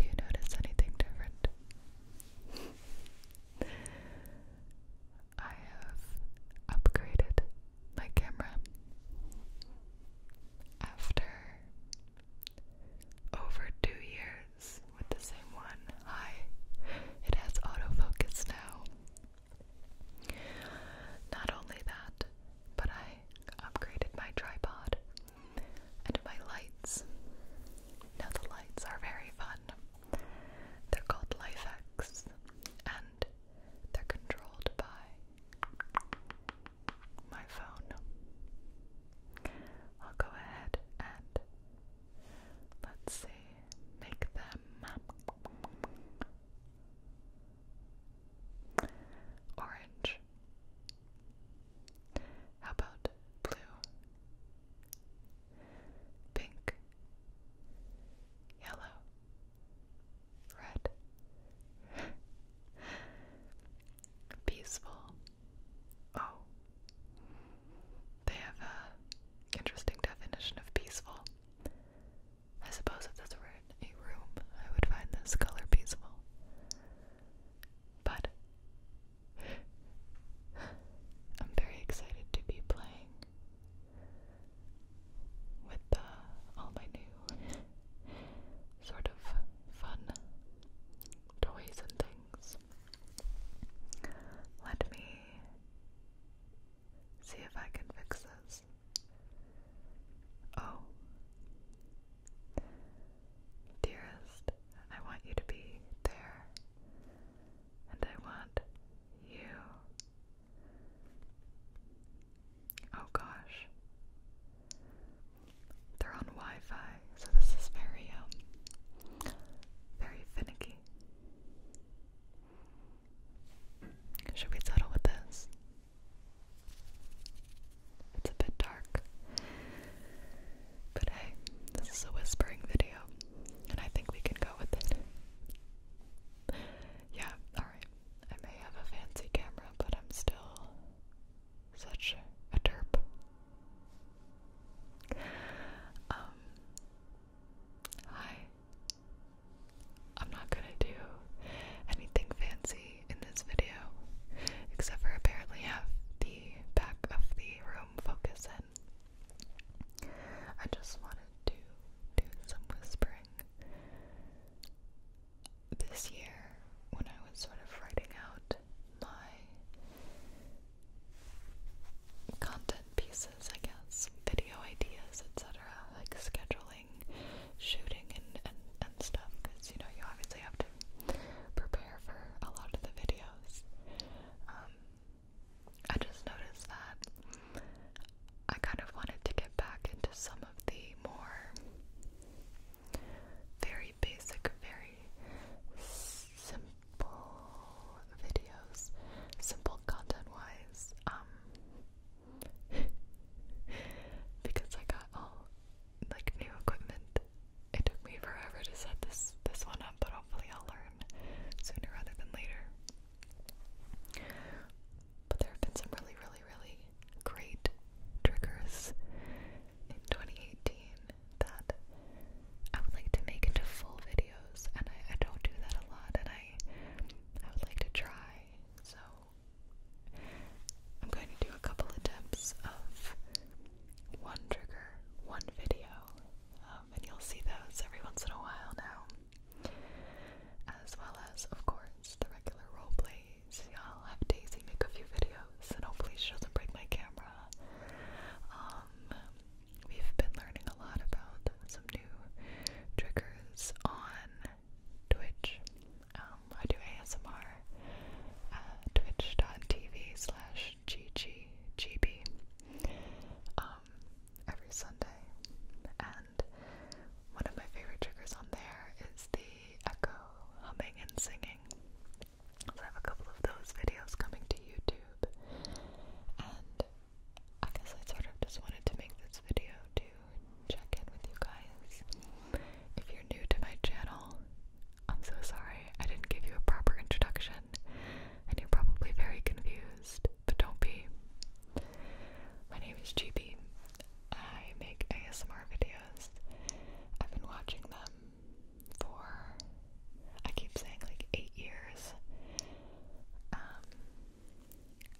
Do you notice anything different? I have upgraded my camera after over two years with the same one. Hi, it has autofocus now. Not only that, but I upgraded my tripod and my lights. Now, the lights are very fun. They're called LifeX and they're controlled by my phone. I'll go ahead and let's see make them orange. How about blue? Pink, yellow, red, peaceful. Oh, they have a interesting definition of peaceful. I suppose if this were in a room, I would find this color peaceful. But I'm very excited to be playing with all my new sort of fun toys and things. Let me See if I can fix this. Oh. Dearest, I want you to be there. And I want you. Oh gosh. They're on Wi Fi, so this is very, um, very finicky. Should we settle with this? It's a bit dark. But hey, this is a whispering video, and I think we can go with it. yeah, alright. I may have a fancy camera, but I'm still such a derp. Um, Hi. I'm not gonna do anything fancy in this video, except for apparently have the back of the room focus in. I just wanted to do some whispering. This year, when I was sort of writing out my content pieces, I guess, video ideas, etc., like scheduling, shooting, and, and, and stuff, because, you know, you obviously have to prepare for a lot of the videos. Um, I just noticed that I kind of wanted to get back into some of the more very basic, very simple simple videos, simple content-wise, um, because I got all, like, new equipment. It took me forever to set this, this one up, but hopefully I'll learn sooner rather than later. But there have been some really, really, really great triggers in 2018 that I would like to make into full videos, and I, I don't do that a lot, and I I would like to try. So I'm going to do a couple attempts of one trigger, one video, um, and you'll see those every once in a while now. As well as, of course, the regular role plays. I'll have Daisy make a few videos, and hopefully she doesn't break my camera. Um, we've been learning a lot about some new triggers on Twitch. Um, I do ASMR uh, twitch.tv slash gggb um, every Sunday. And one of my favorite triggers on there is the echo humming and singing. So I have a couple of those videos coming to YouTube. And I guess I sort of just wanted to make this video to check in with you guys. If you're new to my channel, I'm so sorry I didn't give you a proper introduction, and you're probably very confused, but don't be. My name is GB. I make ASMR videos. I've been watching them for, I keep saying like eight years, um,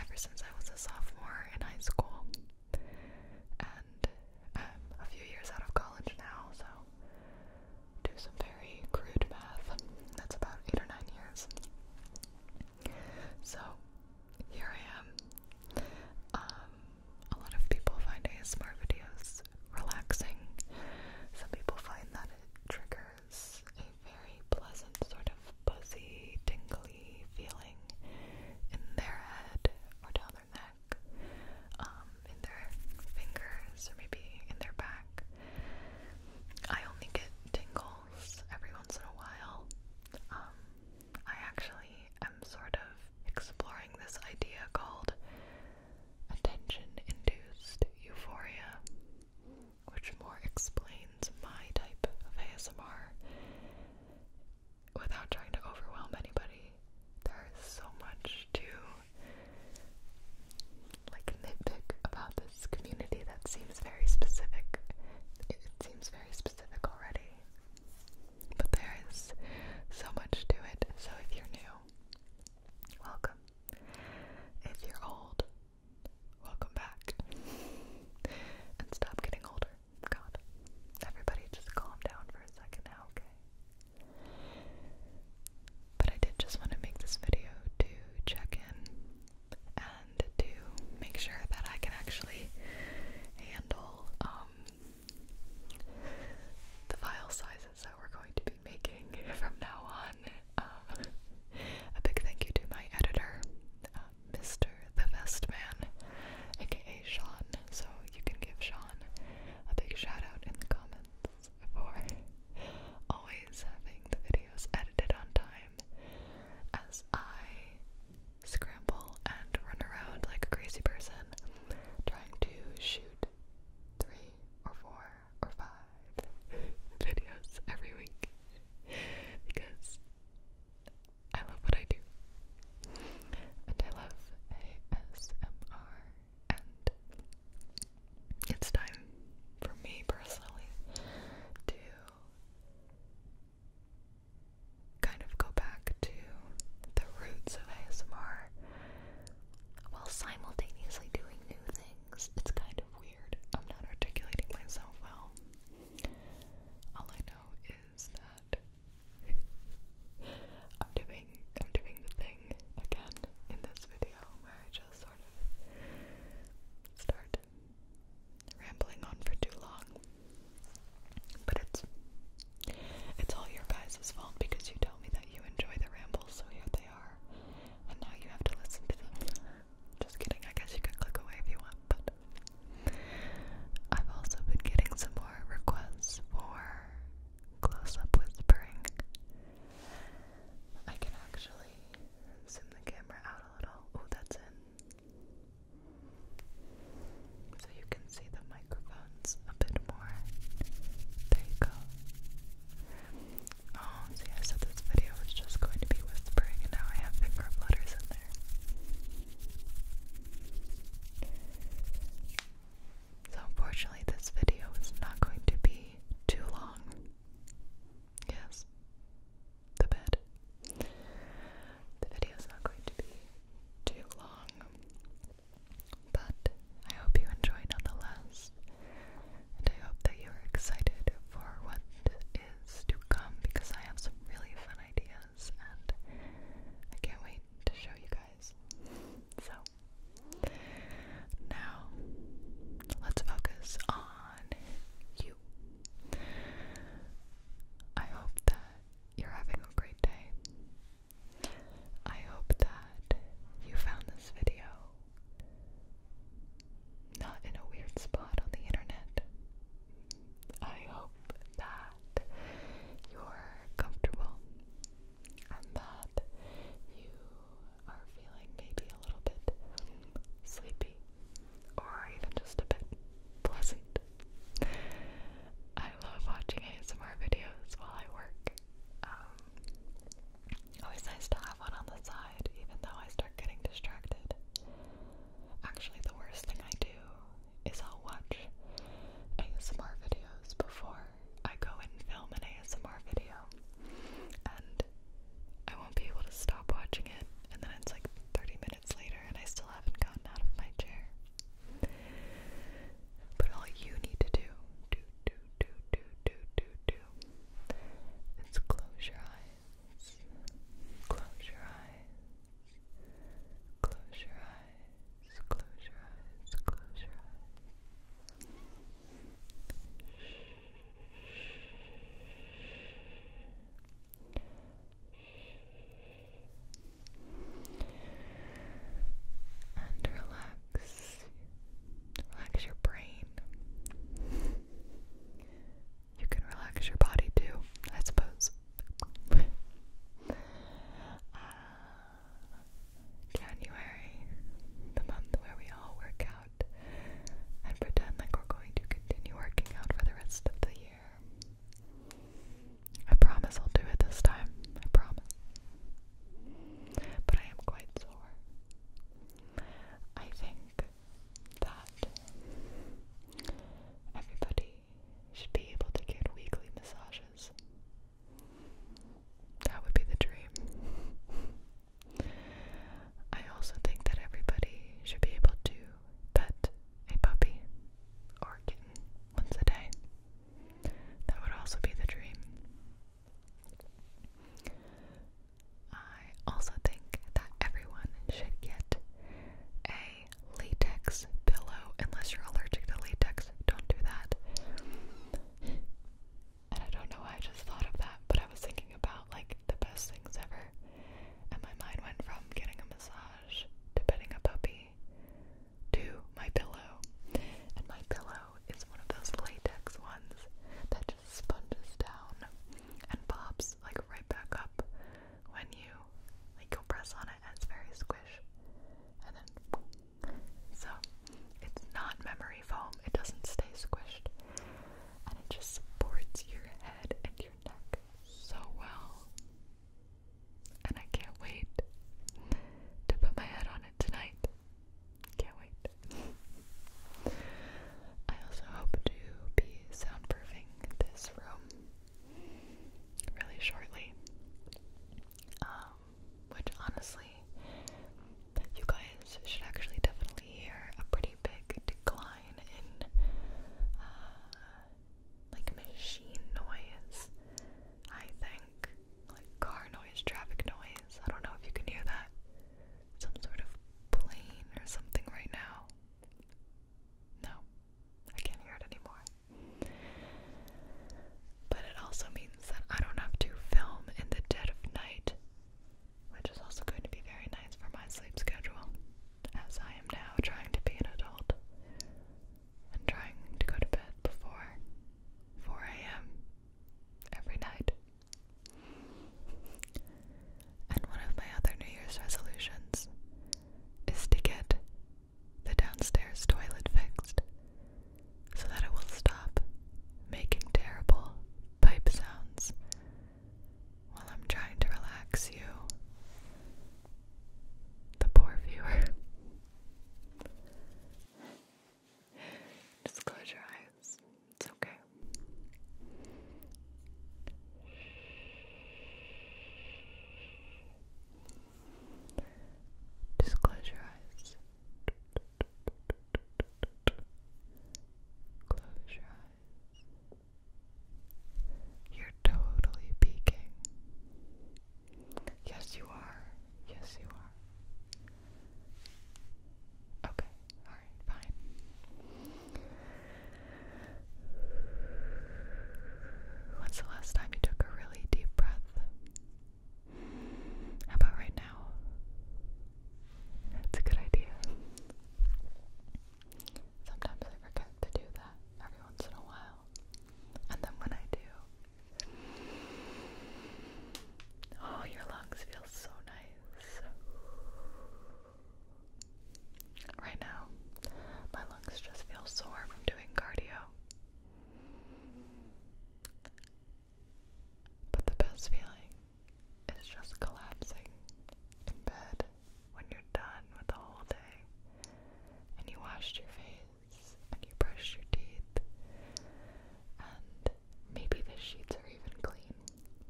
ever since I was a sophomore in high school, and I'm a few years out of college now, so do some very crude math. That's about eight or nine years. So here I am. Um, a lot of people find ASMR videos relaxing. Some people find that it triggers a very pleasant sort of buzzy, tingly feeling in their head or down their neck, um, in their fingers, or maybe in their back. I only get tingles every once in a while. Um, I actually am sort of exploring this idea called attention induced euphoria which more explains my type of ASMR without trying to overwhelm anybody. There is so much to like nitpick about this community that seems very specific. It seems very specific already. But there is so much to it, so if you're new, welcome. If you're old, welcome back. and stop getting older. God. Everybody just calm down for a second now, okay? But I did just want to make this video to check in and to make sure that I can actually handle um, the file sizes that we're going to be be making from now on. Um, a big thank you to my editor, uh, Mr. The Vest Man, aka Sean. So you can give Sean a big shout out in the comments for always having the videos edited on time as I scramble and run around like a crazy person trying to shoot three or four or five videos every week because I love what I do. And I love ASMR, and it's time for me personally to kind of go back to the roots of ASMR while simultaneously doing new things. It's kind of weird. I'm not articulating myself well. All I know is that I'm doing I'm doing the thing again in this video where I just sort of start rambling on for too long. But it's it's all your guys' fault because you tell me that you enjoy the rambles, so here they are and now you have to listen to them. Just kidding, I guess you could click away if you want, but I've also been getting some more requests for close up whispering. I can actually zoom the camera out a little. Oh, that's in. So you can see the microphones a bit more. There you go. Oh, see, I said this video was just going to be whispering, and now I have finger flutters in there. So, unfortunately, this video is not going to be too long. Yes, the bed. The video is not going to be too long, but I hope you enjoy nonetheless and I hope that you're excited for what is to come because I have some really fun ideas and I can't wait to show you guys. So, now let's focus on you. I hope that you're having a great day. I hope that you found this video not in a weird spot on the internet. I hope that you're comfortable and that you are feeling maybe a little bit sleepy or even just a bit pleasant. I love watching ASMR videos while I work. Um, Always nice to have one on the side, even though I start getting distracted. Actually, the worst thing I do is I'll watch ASMR videos before I go and film an ASMR video, and I won't be able to stop watching it, and then it's like 30 minutes later, and I still haven't gotten out of my chair. But all you need to do, do, do, do, do, do, do, do, is close your eyes, close your eyes, close your eyes, close your eyes, close your eyes. And relax, Relax your brain. You can relax your body too, I suppose. Uh, January, the month where we all work out and pretend like we're going to continue working out for the rest of the year. I promise I'll do it this time. I promise but I am quite sore. I think that everybody should be able to get weekly massages. That would be the dream. I also think that everybody should be able to pet a puppy or kitten once a day. That would also be the dream. I also think that everyone should get a latex pillow unless you're allergic to latex. Don't do that. And I don't know why I just thought of that, but I was thinking about like the best things ever. And my mind went from getting a massage to petting a puppy to my pillow. And my pillow it's one of those latex ones that just sponges down and pops like right back up when you like you'll press on it and it's very squishy. and then so it's not memory foam, it doesn't stay squished and it just supports your head and your neck so well. And I can't wait to put my head on it tonight. Can't wait. I also hope to be soundproofing this room really shortly. Um, which honestly, you guys should actually definitely hear a pretty big decline in uh, like machine noise. I think like car noise, traffic noise. I don't know if you can hear that. Some sort of plane or something right now. No, I can't hear it anymore. But it also means that I don't have to film in the dead of night, which is also going to be very nice for my sleep schedule, as I am now trying to be an adult and trying to go to bed before 4 a.m every night. And one of my other New Year's resolutions is to get the downstairs toilet fixed so that it will stop making terrible pipe sounds while I'm trying to relax you, the poor viewer. Just close your eyes. It's okay. Just close your eyes. Close your eyes. You're totally peeking. Yes, you are. Yes, you are. Okay, alright, fine. When's the last time you took a really deep breath? How about right now? That's a good idea. Sometimes I forget to do that every once in a while. And then when I do, Oh, your lungs feel so nice. Right now, my lungs just feel sore from doing cardio. But the best feeling is just collapsing in bed when you're done with the whole day and you washed your face and you brush your teeth. And maybe the sheets are even clean.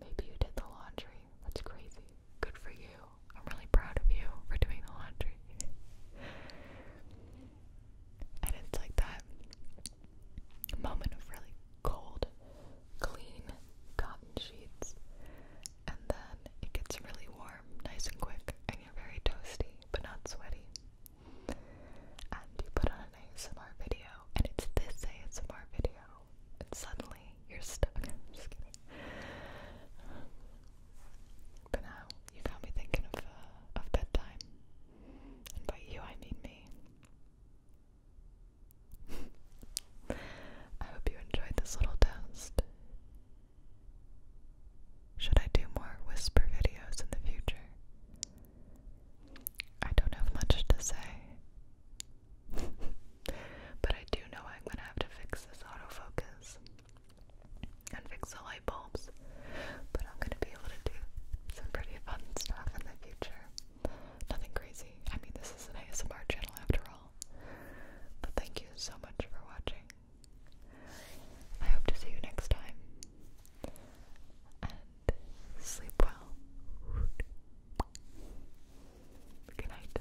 Maybe you did the laundry. That's crazy. Good for you. I'm really proud of you for doing the laundry. and it's like that moment of really cold, clean cotton sheets. And then it gets really warm, nice and quick, and you're very toasty, but not sweaty and you put on an ASMR video and it's this ASMR video and suddenly you're stuck. I'm just kidding. But now you got me thinking of, uh, of bedtime. And by you, I mean me. I hope you enjoyed this little toast. Should I do more whisper videos in the future? I don't have much to say. but I do know I'm gonna have to fix this autofocus and fix the light bulbs. But I'm gonna be able to do some pretty fun stuff in the future. Nothing crazy. I mean, this is an ASMR channel after all. But thank you so much for watching. I hope to see you next time. And sleep well. Good night.